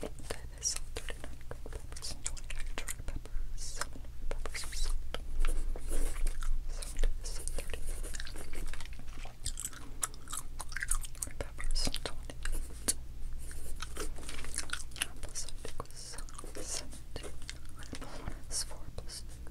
That is salted and uncooked peppers, 29 dry peppers, 7 red peppers with salt. Salt is 30. Red peppers, 28. Apple cider was 17. Apple one is 4 plus 2.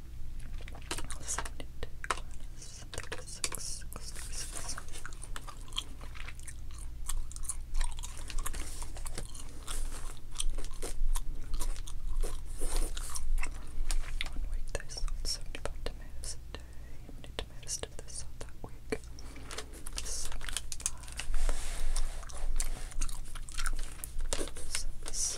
week they 75 tomatoes a day. How many tomatoes did they that week? 75. That's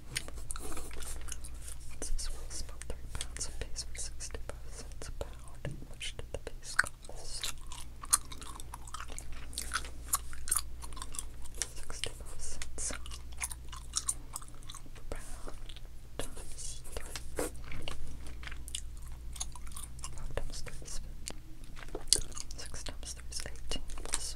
What's this three pounds of peas for 65 cents a pound. How much did the peas cost? 65 cents per pound times three. Five times three is 18 plus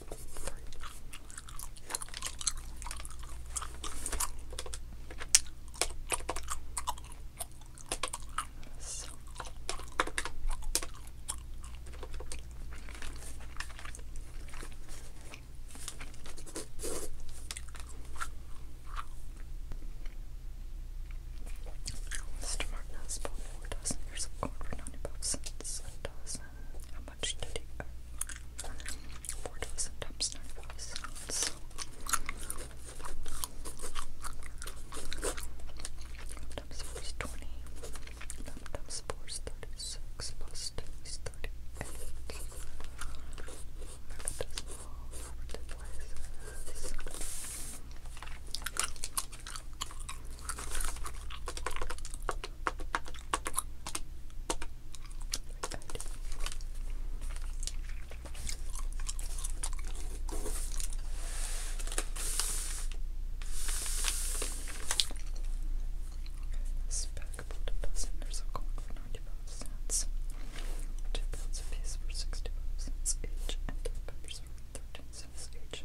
So. Mr. Martin has bought four dozen ears of corn for ninety-five cents and does how much did he earn? times ninety-five cents. Times four is twenty. Times four is thirty-six. thirty-eight. Remember Spackable to dozen, there's a coin for 95 cents. Two pounds a piece for 65 cents each, and peppers are 13 cents each.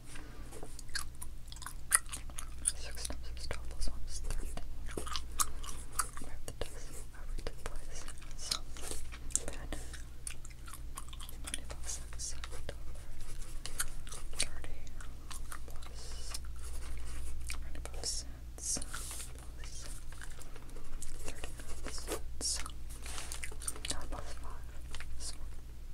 Six times twelve plus one is thirteen. the dice over the place. So, bed. Ninety plus six, thirty plus ninety plus cents plus thirty cents. plus five is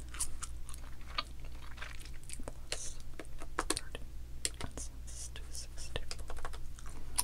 plus 31 cents to 64. All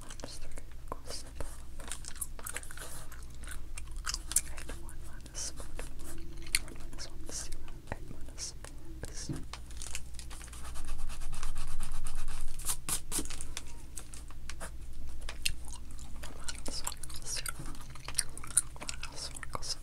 monster equals the eight one minus four one minus one is zero eight minus four is zero. One minus one equals zero. One minus one equals one.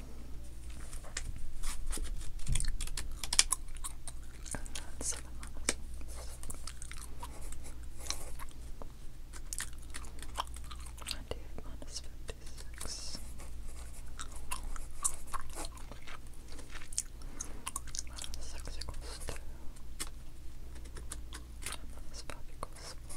And that's minus fifty six. Minus six equals two. minus five equals four.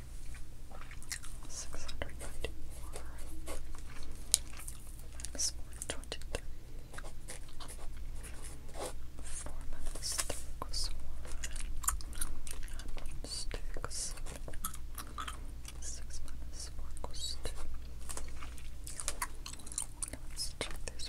six hundred ninety four minus one twenty three four minus three equals one minus two equals six minus four equals two let's check these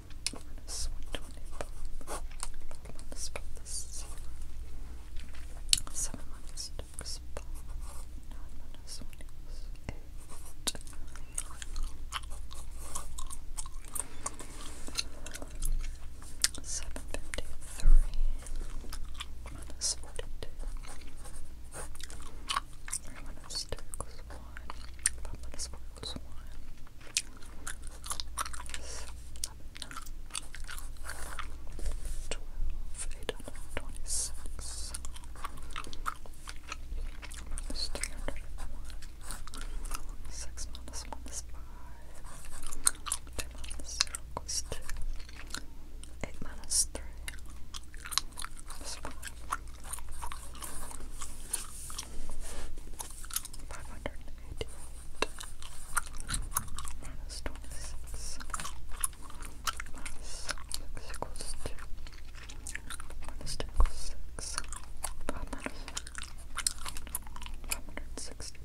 minus 125. Minus 5 is 0. 7 minus 2 is 5. 9 minus 1 is 8. Seven fifty three minus forty two minus two equals one one. Pop on the sparkles one. Twelve, eight hundred and twenty-six. Minus three hundred and one. Six minus one is five. Two minus zero equals two. Eight minus three. Is five five hundred and eighty eight minus twenty six minus six equals two minus two equals six five minus five hundred and sixty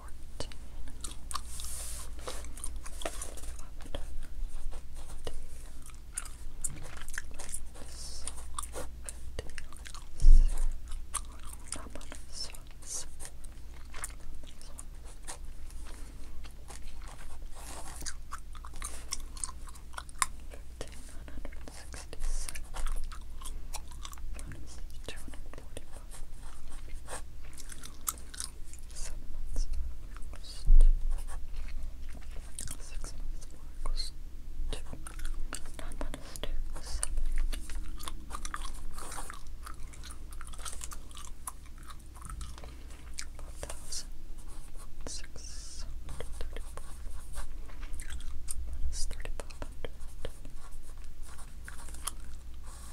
fourteen, Fifteen, one hundred sixty-seven, two hundred forty-one, Seven months August. Six months August. Two. Nine months two. Seven. One thousand six hundred thirty four.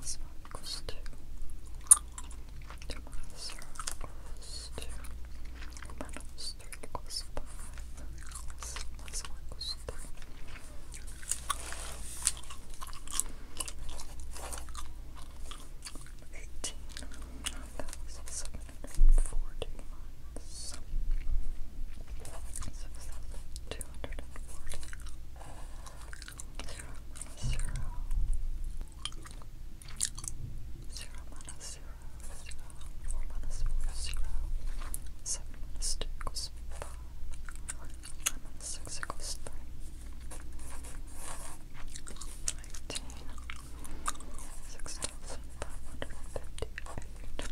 This one equals two. Two minus zero equals two. Minus three equals five. Plus, plus one equals three. Eighteen thousand seven hundred and forty minus six thousand two hundred and forty zero minus zero zero minus zero zero four minus four zero seven minus two equals five nine minus six equals three nineteen six thousand five hundred and fifty eight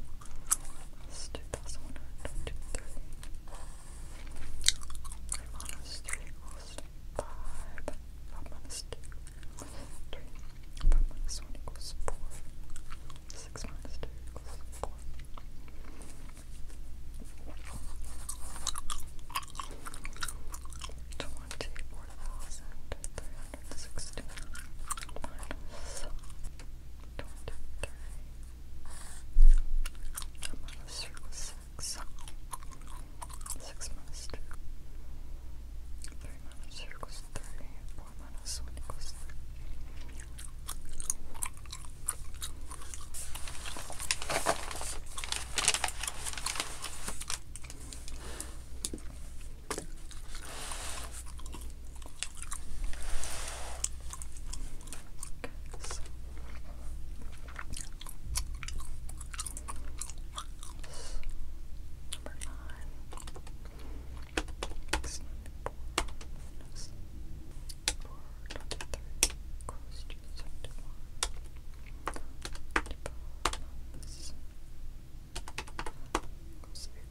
it's 2,123. equals 5. 5 minus 2 equals 3. 5 minus 1 equals 4. 6 minus 2 equals 4. Twenty four thousand three hundred sixty minus twenty three I'm on a circle six. Six minus two. Three minus two equals three. Four minus one equals three so. Number nine. Next ninety-four. Next four twenty-three. Close to seventy-one. Ninety-four. Close to fifteen.